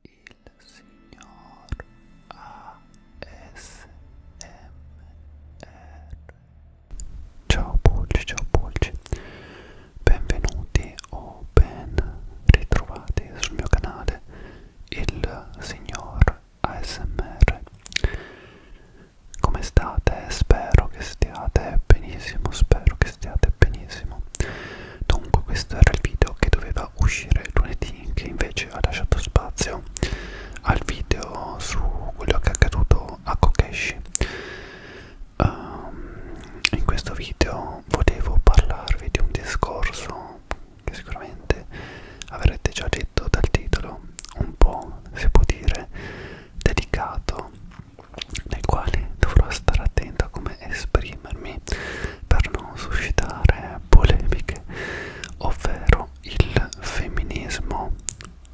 il signor ASMR Ciao Pulci, ciao Pulci, benvenuti o ben ritrovati sul mio canale il signor ASMR Come state? Spero che stiate benissimo, spero che stiate benissimo Dunque questo era il video che doveva uscire lunedì che invece ha lasciato spazio al video su quello che è accaduto a Kokeshi. Um, in questo video volevo parlarvi di un discorso che sicuramente avrete già detto dal titolo, un po' si può dire delicato, nel quale dovrò stare attento a come esprimermi per non suscitare polemiche, ovvero il femminismo.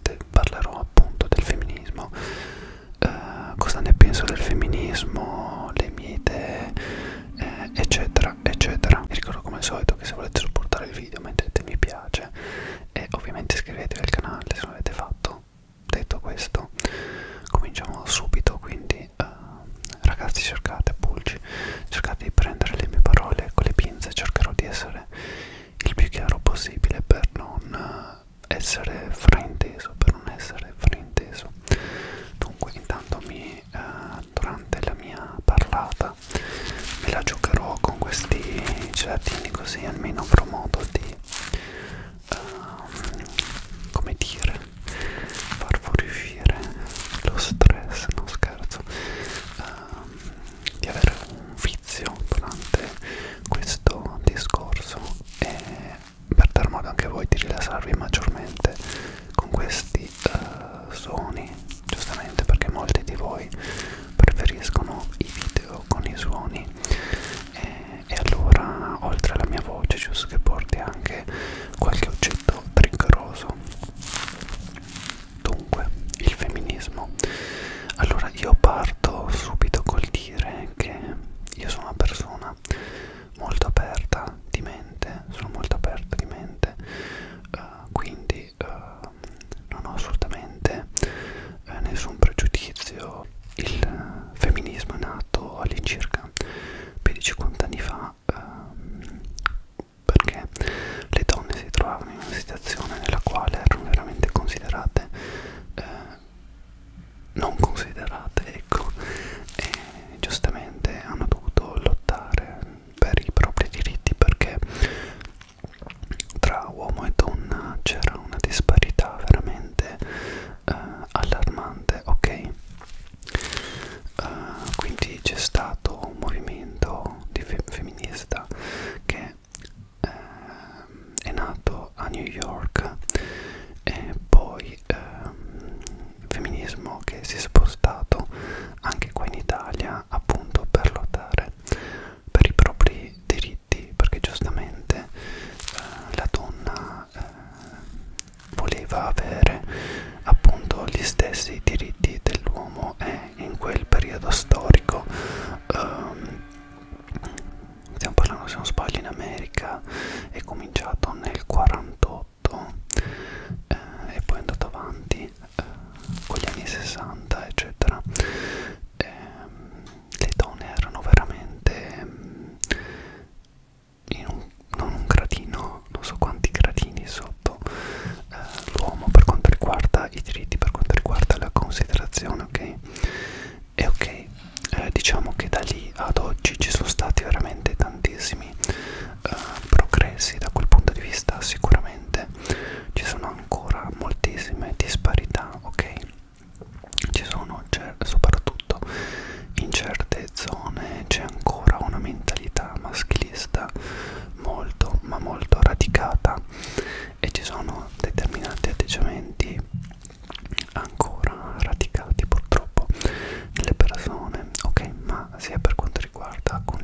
Te parlerò appunto del femminismo, eh, cosa ne penso del femminismo, le mie idee, eh, eccetera, eccetera. Vi ricordo come al solito che se volete supportare il video mettete mi piace e ovviamente iscrivetevi al canale se non l'avete fatto. Detto questo, cominciamo subito quindi quindi eh, ragazzi cercate pulci cercate di prendere le mie parole con le pinze cercherò di essere il più chiaro possibile per non eh, essere frainteso per non essere frainteso dunque intanto mi eh, durante la mia parlata me la giocherò con questi gelatini così almeno avrò modo di um, come dire far fuoriuscire lo stress, non scherzo, um, di avere un vizio durante questo discorso e per dar modo anche voi di rilassarvi maggiormente con questi uh, suoni, giustamente perché molti di voi preferiscono i video con i suoni. E e allora oltre alla mia voce giusto che porti anche qualche oggetto triggeroso dunque il femminismo allora io parto subito col dire che io sono una persona molto aperta di mente sono molto aperta di mente uh, quindi uh, non ho assolutamente eh, nessun pregiudizio il femminismo è nato all'incirca 15-50 anni fa ehm, perché le donne si trovavano in una situazione nella quale erano veramente considerate eh, non considerate ecco e giustamente hanno dovuto lottare per i propri diritti perché tra uomo e donna c'era una disparità veramente eh, allarmante, ok? Uh, quindi c'è stato un movimento di fe femminista che eh, è nato a New York e poi eh, femminismo che si è spostato anche qua in Italia appunto per lottare per i propri diritti perché giustamente eh, la donna ma eh, voleva avere appunto gli stessi diritti dell'uomo e eh, in quel periodo storico ehm, stiamo parlando se non sbaglio in America è cominciato nel 48 eh, e poi è andato avanti eh, con gli anni 60 eccetera eh, le donne erano veramente in un, non un gradino, non so quanti gradini sotto eh, l'uomo per quanto riguarda i diritti, per quanto riguarda la considerazione, ok? E ok, eh, diciamo che da lì ad oggi ci sono stati veramente tantissimi eh, progressi da quel punto di vista, sicuramente ci sono ancora moltissime disparità, ok? ci sono soprattutto in certe zone c'è ancora una mentalità maschilista molto ma molto radicata e ci sono determinati atteggiamenti ancora radicati purtroppo nelle persone ok ma sia per quanto riguarda con,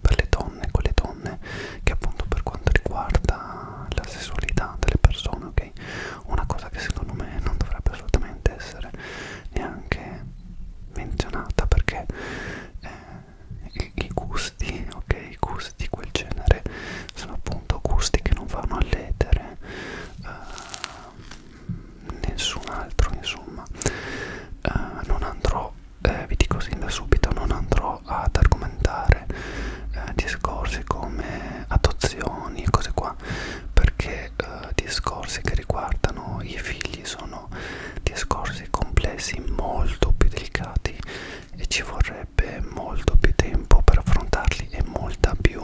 per le donne con le donne che appunto per quanto riguarda la sessualità delle persone ok ok? Una cosa che secondo me non dovrebbe assolutamente essere neanche menzionata perché eh, i, i gusti, ok? I gusti di quel genere sono appunto gusti che non vanno a ledere eh, nessun altro, insomma. Eh, non andrò, eh, vi dico sin da subito, non andrò ad argomentare eh, discorsi come adozioni e cose qua fa perché eh, discorsi che riguardano i figli sono discorsi complessi molto più delicati e ci vorrebbe molto più tempo per affrontarli e molta più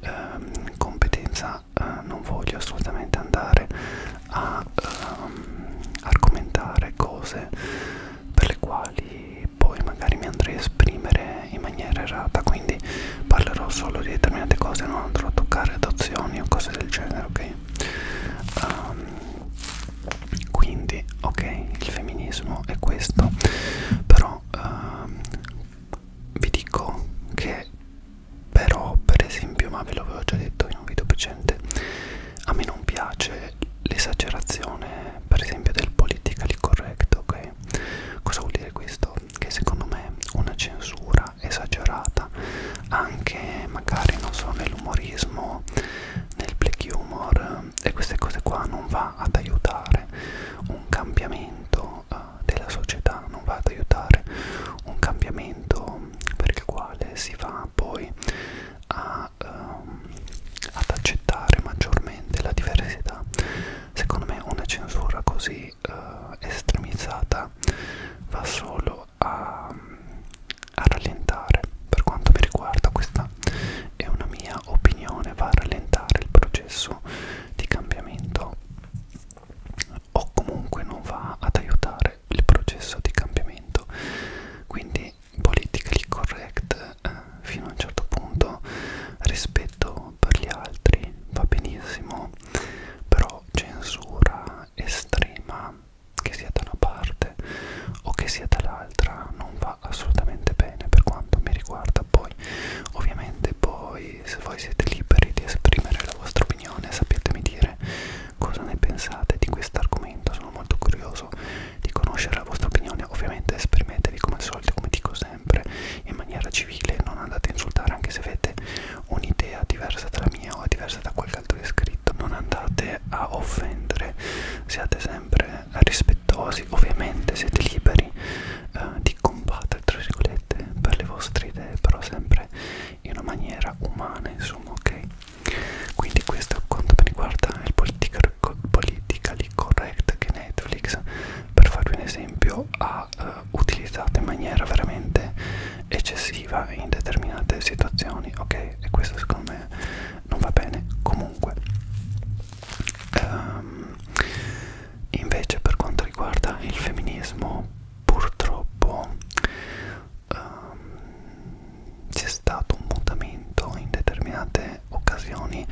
eh, competenza eh, non voglio assolutamente andare a ehm, argomentare cose per le quali poi magari mi andrei a esprimere in maniera errata quindi parlerò solo di determinate cose non andrò a toccare adozioni o cose del genere ok um, quindi ok il femminismo è questo però um, vi dico che però per esempio ma ve l'avevo già detto in un video precedente a me non piace l'esagerazione per esempio del politically correct ok ok? Cosa vuol dire questo? Che secondo me una censura esagerata, anche magari non so, nell'umorismo, nel black humor e queste cose qua non va ad aiutare un cambiamento uh, della società, non va ad aiutare un cambiamento per il quale si va poi a, um, ad accettare maggiormente la diversità Secondo me una censura così uh, estremizzata va solo a, a rallentare, per quanto mi riguarda questa è una mia opinione, va a rallentare il processo di cambiamento o comunque non va ad aiutare il processo di cambiamento. Quindi politically correct eh, fino a un certo punto rispetto per gli altri va benissimo, però censura estrema, che sia da una parte o che sia dall'altra, non va assolutamente bene per quanto mi riguarda. Poi, ovviamente, poi se voi siete liberi di esprimere la vostra opinione, sappiatemi dire cosa ne pensate di questo argomento. Sono molto curioso di conoscere la vostra opinione. Ovviamente esprimetevi come al solito, come dico sempre in maniera civile, non andate a insultare anche se avete un'idea diversa dalla mia o diversa da qualche altro iscritto, non andate a offendere, siate sempre rispettosi, ovviamente siete liberi eh, di combattere tra virgolette per le vostre idee, però sempre in una maniera umana, insomma, ok? Quindi questo quanto mi riguarda è il political politically correct che Netflix, per farvi un esempio, ha uh, utilizzato in maniera veramente eccessiva in determinate situazioni, ok? E questo secondo me non va bene. Comunque, um, invece, per quanto riguarda il femminismo, purtroppo um, c'è stato un mutamento in determinate occasioni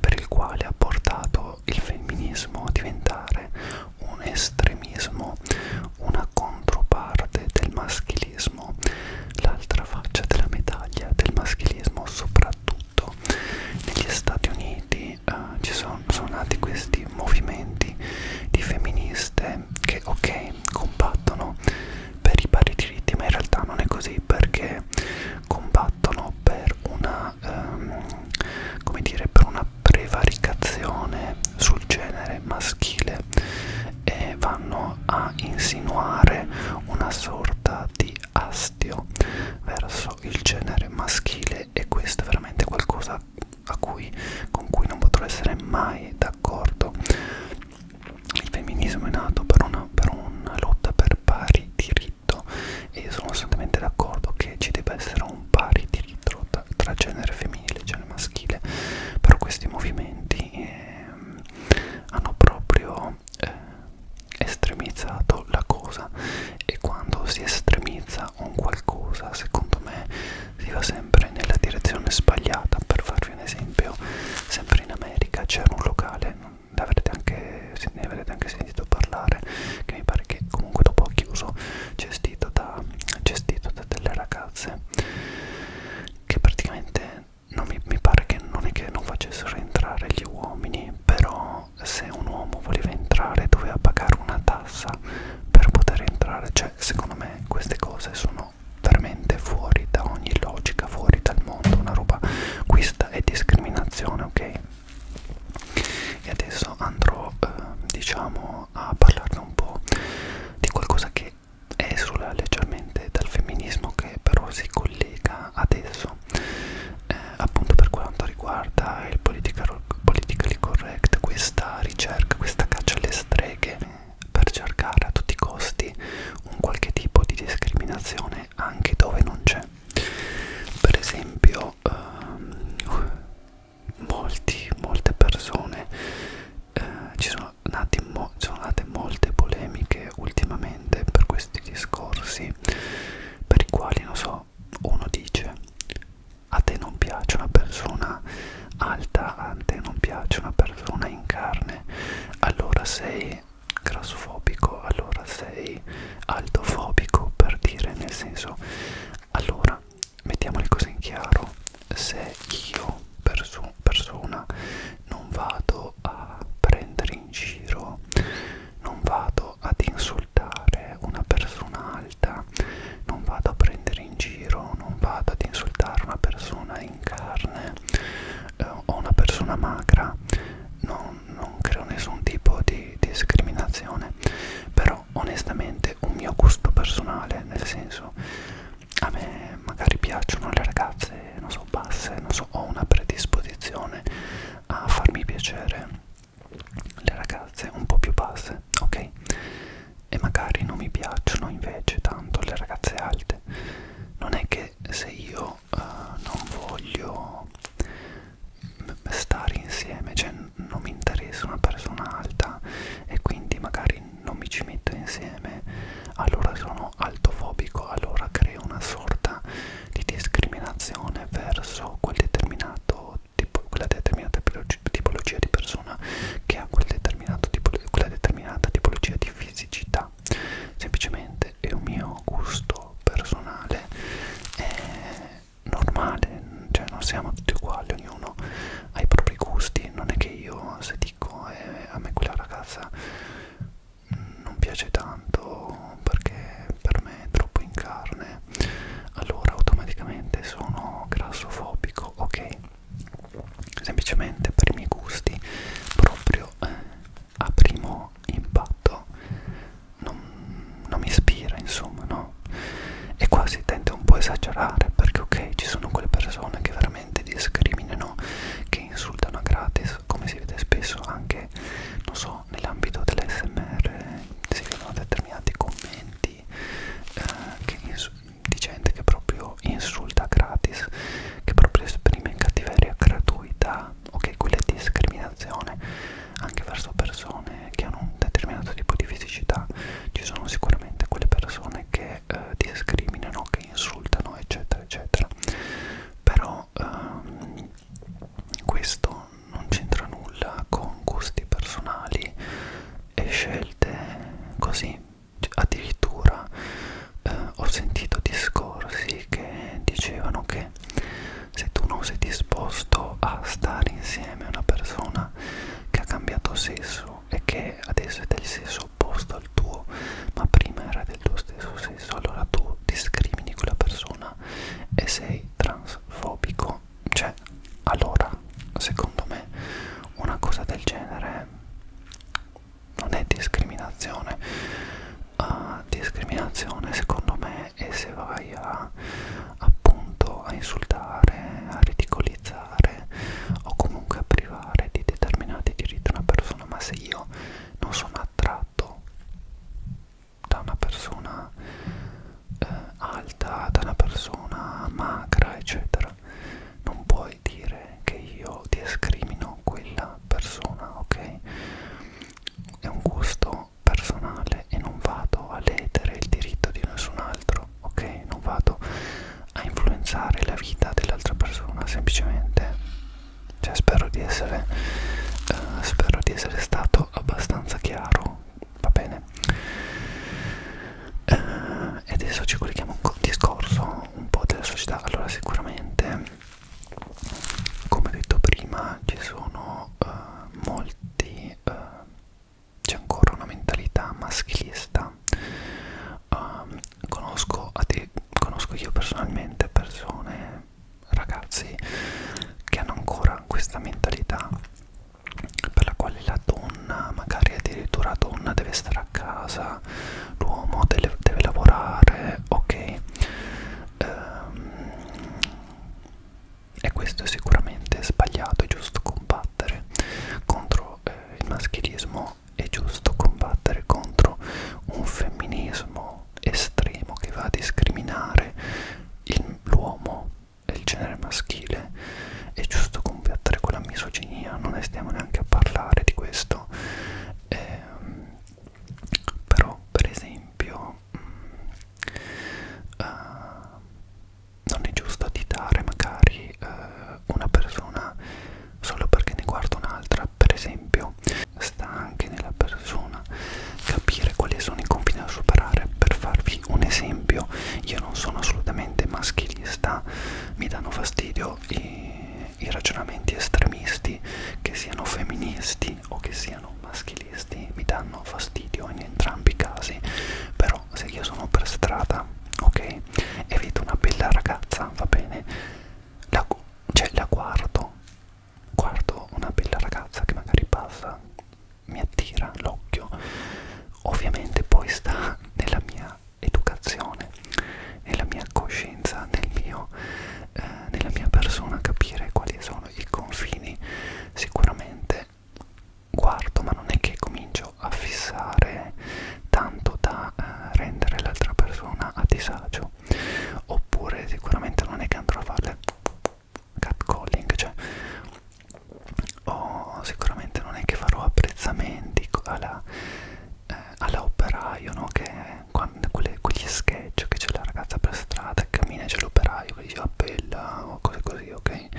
per il quale ha portato visto il femminismo diventare un estremismo, una controparte del maschilismo, l'altra faccia della medaglia del maschilismo, soprattutto negli Stati Uniti eh, ci sono, sono nati questi movimenti di femministe che ok combattono per i pari diritti ma in realtà non è così perché combattono per una ehm, come dire per una prevaricazione sul genere maschile e vanno a insinuare una sorta di astio verso il genere maschile e questo è veramente qualcosa a cui, con cui non potrò essere mai d'accordo. Il femminismo è nato per una, per una lotta per pari diritti diritto e sono assolutamente d'accordo che ci debba essere un pari diritto tra, tra genere femminile e genere maschile, però questi movimenti eh, hanno proprio eh, estremizzato la cosa e quando si estremizza un qualcosa secondo me si va sempre nella direzione sbagliata per farvi un esempio sempre in America c'era un locale non anche, ne avrete anche sentito parlare che mi pare che comunque dopo ha chiuso gestito da, gestito da delle ragazze che praticamente non mi, mi pare che non è che non facessero entrare gli uomini però se un uomo voleva entrare doveva pagare una tassa per poter entrare cioè secondo me queste cose sono veramente fuori da ogni logica fuori dal mondo una roba questa è discriminazione ok e adesso andrò eh, diciamo a parlarne un po' di qualcosa che esula leggermente dal femminismo che però si collega adesso eh, appunto per quanto riguarda il political, politically correct questa ricerca, questa caccia alle streghe per cercare a tutti i costi un qualche tipo di discriminazione anche dove non c'è per esempio ehm, molti, molte persone eh, ci sono, nati mo sono nate molte polemiche ultimamente per questi discorsi per i quali non so uno dice a te non piace una persona alta a te non piace una persona in carne allora sei grassofobico allora sei altofobico per dire nel senso allora mettiamo le cose in chiaro se io perso persona non vado a prendere in giro non vado ad insultare una persona alta non vado a prendere in giro non vado ad insultare una persona in carne eh, o una persona magra non non, non creo nessun tipo di, di discriminazione però onestamente un mio gusto personale nel senso a me magari piacciono le ragazze non so basse non so ho una predisposizione a farmi piacere le ragazze un po' più basse ok e magari non mi piacciono invece tanto le ragazze alte non è che se io però eh, non voglio stare insieme, cioè non mi interessa una persona alta e quindi magari non mi ci metto insieme, allora sono altofobico, allora creo una sorta di discriminazione verso quel determinato tipo, quella determinata tipologia di persona che ha quel determinato tipo, quella determinata tipologia di fisicità. Semplicemente è un mio gusto mio personale è normale, cioè non siamo tutti uguali, ognuno ha i propri gusti, non è che io se dico eh, a me quella ragazza non piace tanto perché per me è troppo in carne, allora automaticamente sono grassofobico, ok? Semplicemente per i miei gusti proprio eh, a primo impatto non, non mi ispira insomma no e qua si tende un po' a esagerare perché ok ci sono quelle persone che veramente discriminano che insultano a gratis come si vede spesso anche non so nell'ambito dell'SMR si vedono determinati commenti eh, che di gente che proprio insulta gratis che proprio esprime in cattiveria gratuita ok quella è discriminazione anche verso persone che hanno un determinato tipo di fisicità ci sono sicuramente quelle persone che eh, discriminano che insultano eccetera eccetera però ehm, questo non c'entra nulla con gusti personali e scelte così addirittura eh, ho sentito discorsi che dicevano che perché se tu non sei disposto a stare insieme a una persona che ha cambiato sesso e che adesso è del sesso opposto al tuo, ma prima era del tuo stesso sesso, allora tu discrimini quella persona e sei transfobico. Cioè, allora, secondo me, una cosa del genere non è discriminazione uh, discriminazione secondo me e se vai a appunto a insultare, a ridicolizzare o comunque a privare di determinati diritti una persona, ma se io non sono attratto da una persona eh, alta, da una persona magra, eccetera, non puoi dire che io discrimino quella persona, ok? è un gusto personale e non vado a ledere il diritto di nessun altro, ok? Non vado a influenzare la vita dell'altra persona, semplicemente. Cioè, spero di essere, eh, spero di essere stato abbastanza chiaro, va bene? Eh, e eh, adesso ci colleghiamo a un discorso un po' della società. Allora, sicuramente come detto prima ci sono eh, molti eh, c'è ancora una mentalità maschilista eh, conosco, a te, conosco io personalmente persone ragazzi che hanno ancora questa mentalità per la quale la donna magari addirittura la donna deve stare a casa l'uomo deve, deve lavorare ok ehm, e questo è sicuramente sbagliato, è giusto combattere contro eh, il maschilismo, è giusto combattere contro un femminismo estremo che va a discriminare l'uomo e il genere maschile, è giusto combattere con la misoginia, non ne stiamo neanche a parlare di questo. Eh, però per esempio mh, mm, eh, uh, non è giusto additare magari uh, una persona solo perché ne guarda un'altra per esempio sta anche nella persona capire quali sono i confini da superare per farvi un esempio io non sono assolutamente maschilista mi danno fastidio i, i ragionamenti estremisti che siano femministi femminilisti o che siano maschilisti mi danno fastidio in entrambi i casi però se io sono per strada ok e vedo una bella ragazza va bene la, cioè la guardo guardo una bella ragazza che magari passa mi attira l'occhio ovviamente poi sta nella mia educazione nella mia coscienza nel mio eh, nella mia persona capire quali sono i confini sicuramente guardo ma non è che comincio a fissare tanto da eh, rendere l'altra persona a disagio oppure sicuramente non è che andrò a farle catcalling cioè o sicuramente non è che farò apprezzamenti alla, eh, alla operaio no? che me quando, quelle, quegli sketch che c'è la ragazza per strada che cammina e c'è l'operaio che dice appella o cose così ok eh,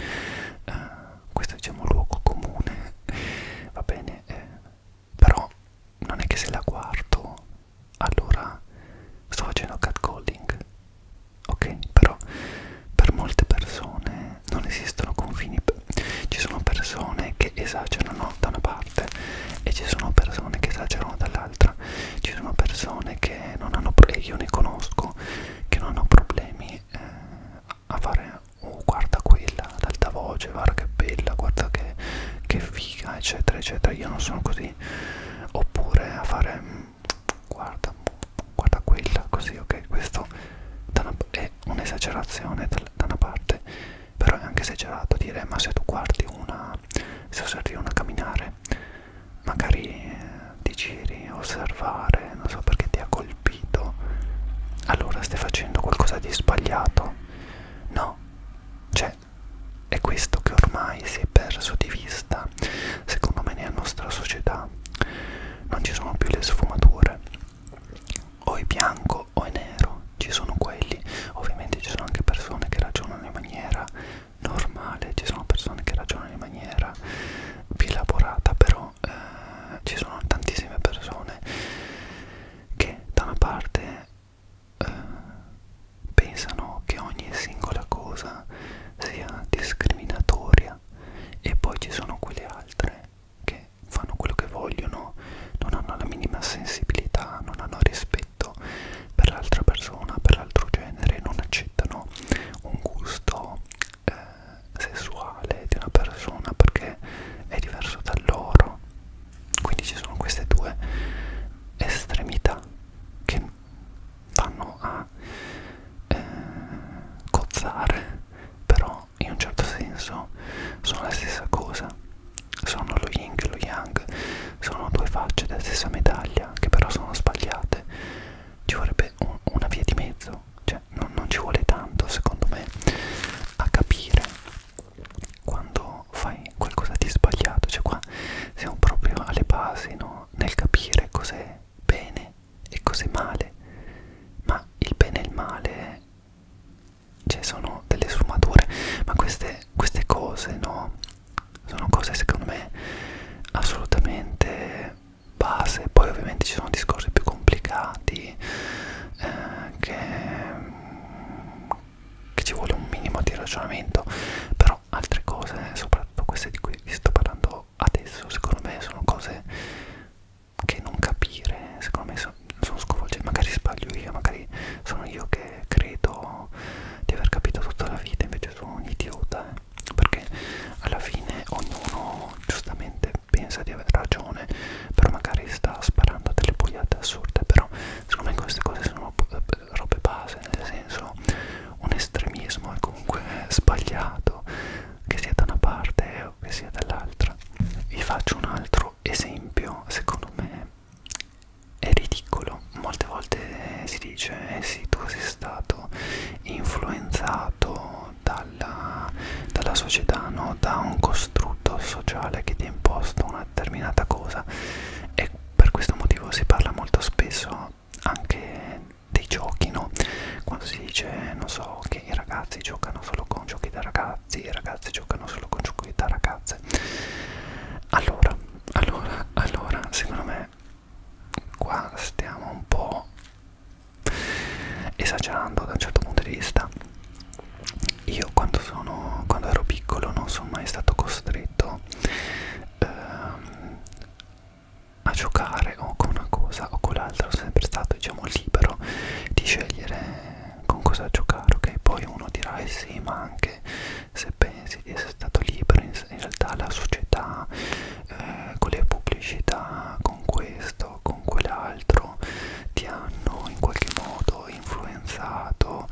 questo è diciamo luogo comune va bene eh, però non è che se la guardo allora sto facendo catcalling ok però per molte persone non esistono confini ci sono persone che esagerano da una parte parte e ci sono persone che esagerano dall'altra ci sono persone che non hanno problemi io ne conosco che non hanno problemi eh, a fare oh guarda quella ad alta voce guarda che bella guarda che, che figa eccetera eccetera io non sono così oppure a fare mm, guarda guarda quella così ok questo da una, è un'esagerazione da, da una parte però è anche esagerato dire ma se tu guardi una se servivano a camminare magari eh, ti giri osservare non so perché ti ha colpito allora stai facendo qualcosa di sbagliato no cioè è questo che ormai si è perso di vista secondo me nella nostra società non ci sono più le sfumature o è bianco bianco o è nero, ci sono quelli, ovviamente ci sono anche persone che ragionano in maniera normale, ci sono persone che ragionano in maniera più elaborata, però eh, ci sono tantissime persone che da una parte eh, pensano che ogni singola cosa sia discriminatoria e poi ci sono quelle altre che fanno quello che vogliono, non hanno la minima sensibilità, non hanno rispetto rispetto per l'altra persona, per l'altro genere, non accettano un gusto eh, sessuale di una persona perché è diverso da loro. Quindi ci sono queste due estremità che vanno a eh, cozzare, però in un certo senso sono la stessa cosa sono lo yin e lo yang, sono due facce della stessa medaglia che però sono sbagliate, ci vorrebbe un, una via di mezzo, cioè non, non ci vuole tanto secondo me a capire quando fai qualcosa di sbagliato, cioè qua siamo proprio alle basi no? nel capire cos'è bene e cos'è male, ma il bene e il male cioè sono delle sfumature ma queste, queste cose no sono cose secondo me assolutamente base poi ovviamente ci sono discorsi più complicati eh, che, che ci vuole un minimo di ragionamento però altre cose soprattutto queste di cui vi sto parlando adesso secondo me sono cose che non capire secondo me sono, sono sconvolgente, magari sbaglio io, magari sono io che credo di aver capito tutta la vita, invece sono un idiota, eh? perché alla fine ognuno giustamente pensa di aver ragione, però magari sta sparando delle boiate assurde, però secondo me queste cose sono robe base, nel senso un estremismo è comunque sbagliato, che sia da una parte o che sia dall'altra. Vi faccio un altro esempio, secondo me è ridicolo molte volte si dice eh sì tu sei stato influenzato dalla, dalla società no? da un costrutto sociale che ti ha imposto una determinata cosa e per questo motivo si parla molto spesso anche dei giochi no? quando si dice non so che i ragazzi giocano solo con giochi da, ragazzi e ragazze giocano solo con giochi da ragazze allora allora allora secondo me qua stiamo un po' esagerando da un certo punto di vista io quando sono quando ero piccolo non sono mai stato costretto ehm, a giocare o con una cosa o con l'altra sono sempre stato diciamo libero di scegliere con cosa giocare, ok? Poi uno dirà, eh sì, ma anche se pensi di essere stato libero, in, in realtà la società, eh, con le pubblicità, con questo, con quell'altro, ti hanno in qualche modo influenzato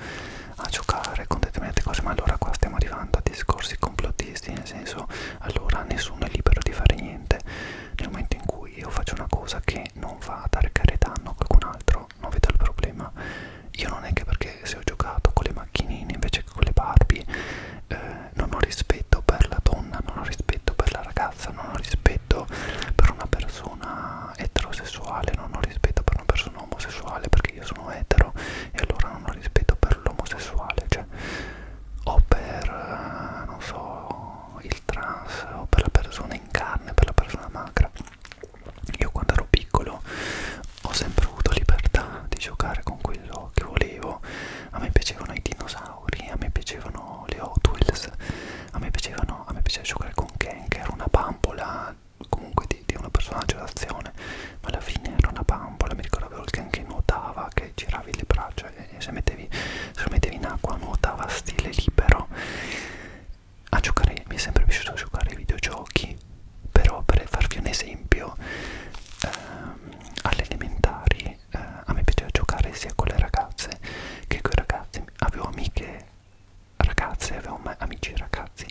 a giocare con determinate cose, ma allora qua stiamo arrivando a discorsi complottisti, nel senso, allora nessuno è libero di fare niente nel momento in cui io faccio una cosa che non va a dare danno a qualcun altro no, non vedo il problema. Io non è che perché se ho giocato con le macchinine invece che con le Barbie, eh, non ho rispetto per la donna, non ho rispetto per la ragazza, non ho rispetto per una persona eterosessuale, non ho rispetto per una persona omosessuale perché io sono etero e allora non ho rispetto per l'omosessuale, cioè o per eh, non so il trans o per la persona in carne, per la persona magra. Io quando ero piccolo ho sempre avuto libertà di giocare con quello che volevo. A me piacevano i dinosauri, a me piacevano le Hot Wheels, a me, piacevano, a me piaceva giocare con Ken, che era una bambola comunque di, di una personaggio d'azione, ma alla fine era una bambola. Mi ricordo avevo il Ken che nuotava, che giravi le braccia e, e se, mettevi, se lo mettevi in acqua nuotava a stile libero a giocare, mi è sempre piaciuto giocare ai videogiochi, però per farvi un esempio, ehm, alle elementari eh, a me piaceva giocare sia con le ragazze che con i ragazzi, avevo amiche ragazze, avevo amici ragazzi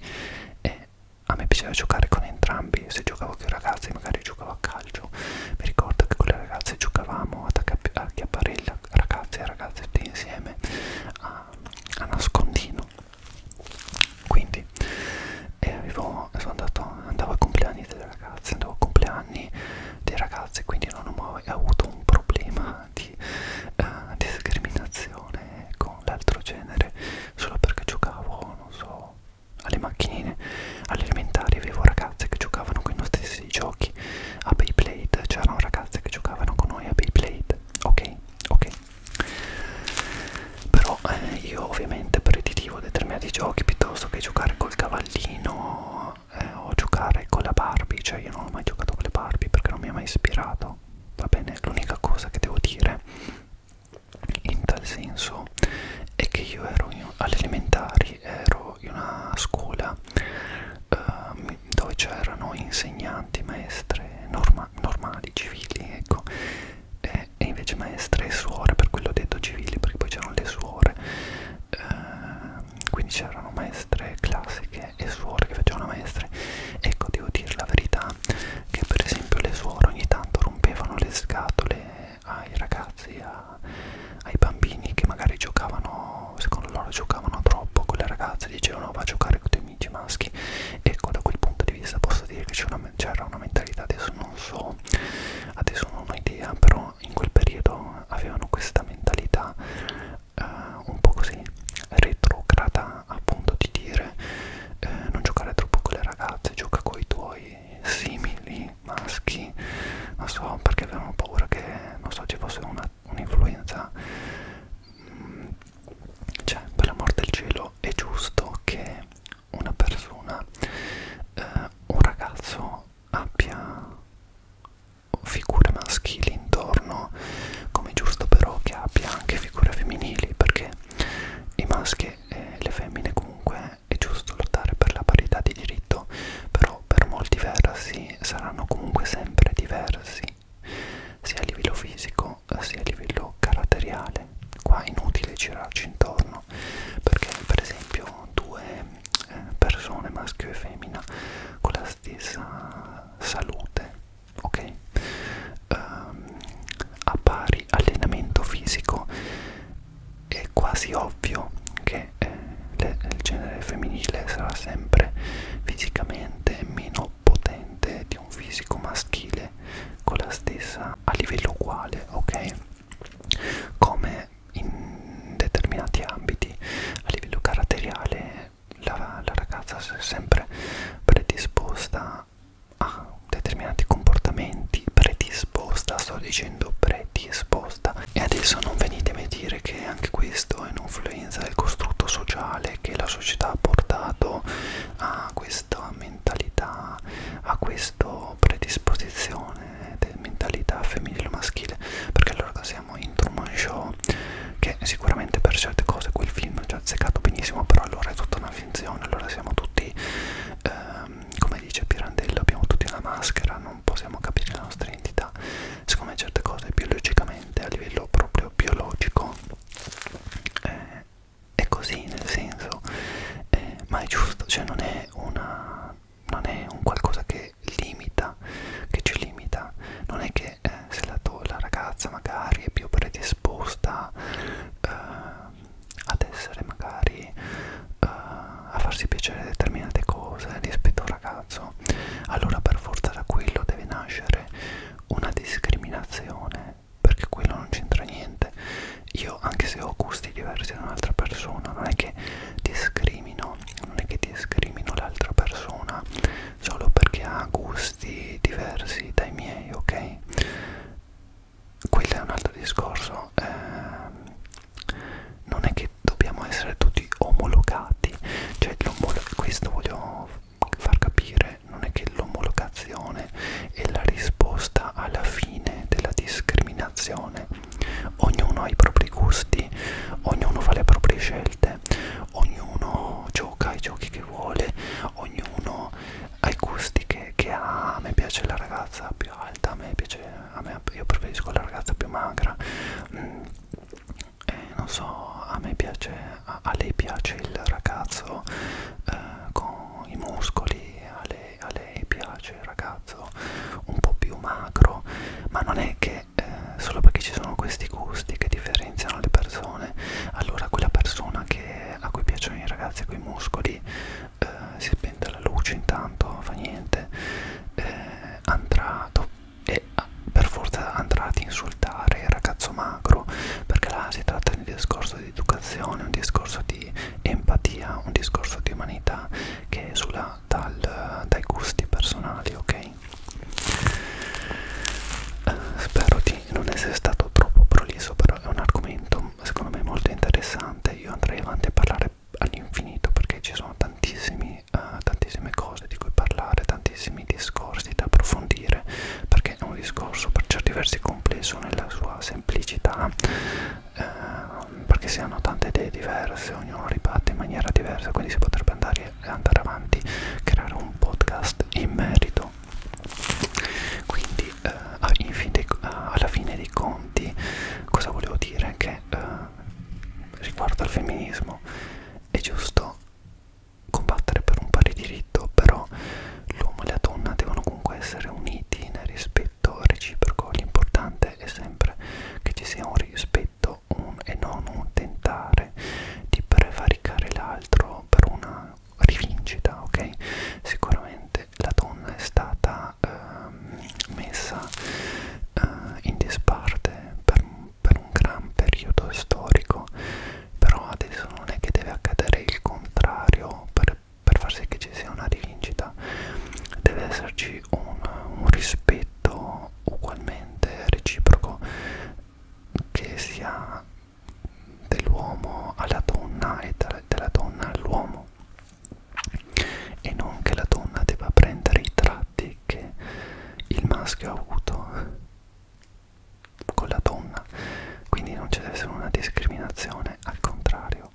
e a me piaceva giocare con entrambi, se giocavo con i ragazzi magari giocavo a calcio, mi ricordo che con le ragazze giocavamo ad acchiapparella, ragazze e ragazze tutti insieme a a nascondino quindi eh, avevo, sono andato, andavo ai compleanni delle ragazze andavo ai compleanni dei ragazzi quindi non ho mai avuto un problema di eh, discriminazione con l'altro genere solo perché giocavo non so alle macchinine all'elementare avevo ragazze che giocavano con i nostri stessi giochi a Beyblade c'erano ragazze che giocavano con noi a Beyblade niente ok ok però eh, io ovviamente preditivo determinati giochi piuttosto che giocare col cavallino eh, o giocare con la Barbie cioè io non ho mai giocato con le Barbie perché non mi ha mai ispirato va bene l'unica cosa che devo dire in tal senso è che io ero alle elementari ero in una scuola eh, cui, dove c'erano insegnanti, maestre norma normali, civili, ecco, e, e invece maestre e suore, per quello ho detto civili perché poi c'erano le suore, eh, quindi c'erano maestre classiche e suore che facevano maestre, ecco devo dire la verità che per esempio le suore ogni tanto rompevano le scatole ai ragazzi, a, ai bambini che magari giocavano giocavano, secondo loro giocavano troppo con le ragazze, dicevano va a giocare con i tuoi amici maschi ecco da quel punto di vista posso dire che c'era una, una mentalità, adesso non so, adesso non ho idea, però in quel periodo avevano questa mentalità eh, un po' così retrograda appunto di dire eh, non giocare troppo con le ragazze, gioca con i tuoi simili maschi, non so perché avevano paura che non so ci fosse una un'influenza mm, cioè per l'amor del cielo è giusto che una persona eh, un ragazzo abbia figure maschili intorno come giusto però che abbia anche figure femminili perché i maschi e le femmine comunque è giusto lottare per la parità di diritto però per molti versi saranno comunque sempre diversi sia a livello fisico sia a livello caratteriale qua è inutile girarci intorno perché per esempio due eh, persone maschio e femmina con la stessa salute ok um, a pari allenamento fisico è quasi ovvio che eh, le, il genere femminile sarà sempre fisicamente leggermente meno potente di un fisico maschile con la stessa a livello uguale, ok? Come in determinati ambiti a livello caratteriale la, la ragazza si è sempre predisposta a determinati comportamenti predisposta sto dicendo predisposta e adesso non venitemi a dire dire che anche questo è un'influenza del costrutto sociale che la società ha portato a questa mentalità, a questa predisposizione del mentalità femminile o maschile, perché allora siamo in Truman Show, che sicuramente per certe cose quel film è già azzeccato benissimo, però allora è tutta una finzione, allora siamo tutti, ehm, come dice Pirandello, abbiamo tutti una maschera, non possiamo capire la nostra identità siccome certe cose biologicamente a livello proprio biologico eh, è così nel senso eh, ma è giusto cioè non è una non è un qualcosa che limita che ci limita non è che eh, se la, la ragazza magari è più predisposta eh, ad essere magari eh, a farsi piacere determinate cose rispetto a un ragazzo caso, allora per forza da quello deve nascere una discriminazione, perché quello non c'entra niente. Io, anche se ho gusti diversi da un'altra persona, non è che discrimino, non è che discrimino l'altra persona solo perché ha gusti diversi dai miei, ok? Quello è un altro discorso. Eh, non è che che dobbiamo essere tutti omologati cioè questo voglio far capire non è che l'omologazione è la risposta alla fine della discriminazione ognuno ha i propri gusti ognuno fa le proprie scelte ognuno gioca ai giochi che vuole ognuno ha i gusti che, che ha a me piace la ragazza più alta a me piace a me, io preferisco la ragazza più magra mm, eh, non so, a me piace, a, a lei piace il ragazzo eh, con i muscoli, a lei, a lei piace il ragazzo un po' più magro, ma non è che eh, solo perché ci sono questi gusti che differenziano le persone, allora quella persona che, a cui piacciono i ragazzi con i muscoli eh, si spenta la luce intanto, fa niente, eh, andrà dopo e ah, per forza andrà ad insultare il ragazzo magro perché là si tratta di un discorso di educazione, un discorso di empatia, un discorso di umanità che esula dal, dai gusti personali, ok? Eh, spero di non essere stato troppo prolisso, però è un argomento secondo me molto interessante, io andrei avanti a parlare all'infinito perché ci sono tantissimi tantissime, uh, tantissime cose di cui parlare, tantissimi discorsi da approfondire, perché è un discorso per certi versi complesso nella sua semplicità, uh, perché si hanno tante idee diverse, ognuno ribatte in maniera diversa, quindi si potrebbe andare, andare avanti, creare un podcast in merito. Quindi uh, fin dei, uh, alla fine dei conti cosa volevo dire? Che uh, riguardo al femminismo è giusto combattere per un pari diritto, però l'uomo e la donna devono comunque essere uniti nel rispetto reciproco. L'importante è sempre che ci sia un rispetto un, e non un tentare di prevaricare l'altro per una rivincita, ok? Sicuramente la donna è stata eh, messa eh, in disparte per un, per un gran periodo storico però adesso non è che deve accadere il contrario per, per far sì che ci sia una rivincita deve esserci un, un rispetto ugualmente reciproco che sia dell'uomo alla donna e della donna all'uomo e non che la donna debba prendere i tratti che il maschio ha avuto con la donna quindi non ci deve essere una discriminazione al contrario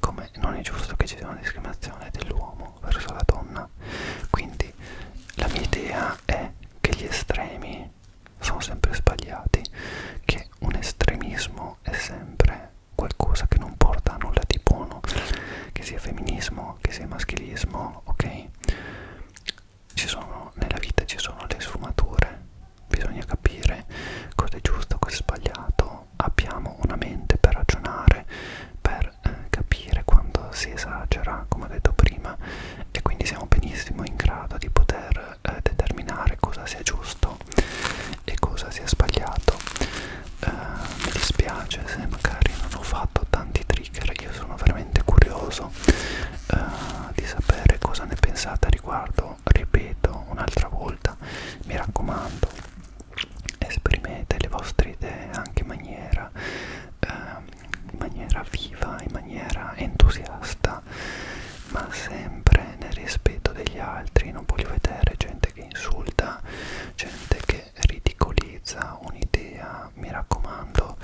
come non è giusto che ci sia una discriminazione dell'uomo verso la donna quindi la mia idea è che gli estremi sono sempre sbagliati che un estremismo è sempre qualcosa che non porta a nulla di buono che sia femminismo che sia maschilismo sono ok ci sono nella vita ci sono le sfumature bisogna capire cosa è giusto cosa è sbagliato abbiamo una mente per ragionare per eh, capire quando si esagera come ho detto prima e quindi siamo benissimo in grado di poter eh, determinare cosa sia giusto e cosa sia sbagliato eh, mi dispiace se magari non ho fatto tanti trigger io sono veramente curioso uh, di sapere cosa ne pensate a riguardo ripeto un'altra volta mi raccomando esprimete le vostre idee anche in maniera uh, in maniera viva in maniera entusiasta ma sempre nel rispetto degli altri non voglio vedere gente che insulta gente che se ridicolizza un'idea mi raccomando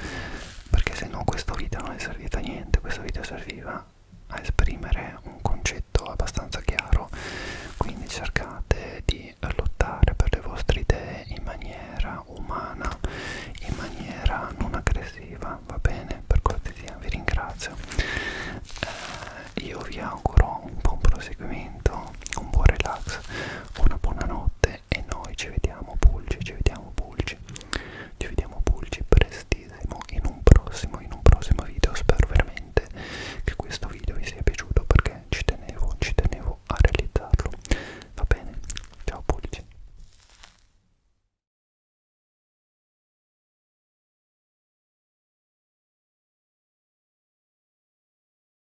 perché se no questo video non è servito a niente questo video serviva a esprimere un concetto abbastanza chiaro quindi cercate di lottare per le vostre idee in maniera umana in maniera non aggressiva va bene per cortesia vi ringrazio eh, io vi auguro un buon proseguimento un buon relax una buona notte me e noi ci vediamo pulci, ci vediamo pulci, ci vediamo pulci prestissimo in un prossimo, in un prossimo video. Spero veramente che questo video vi sia piaciuto perché ci tenevo, ci tenevo a realizzarlo. Va bene? Ciao pulci!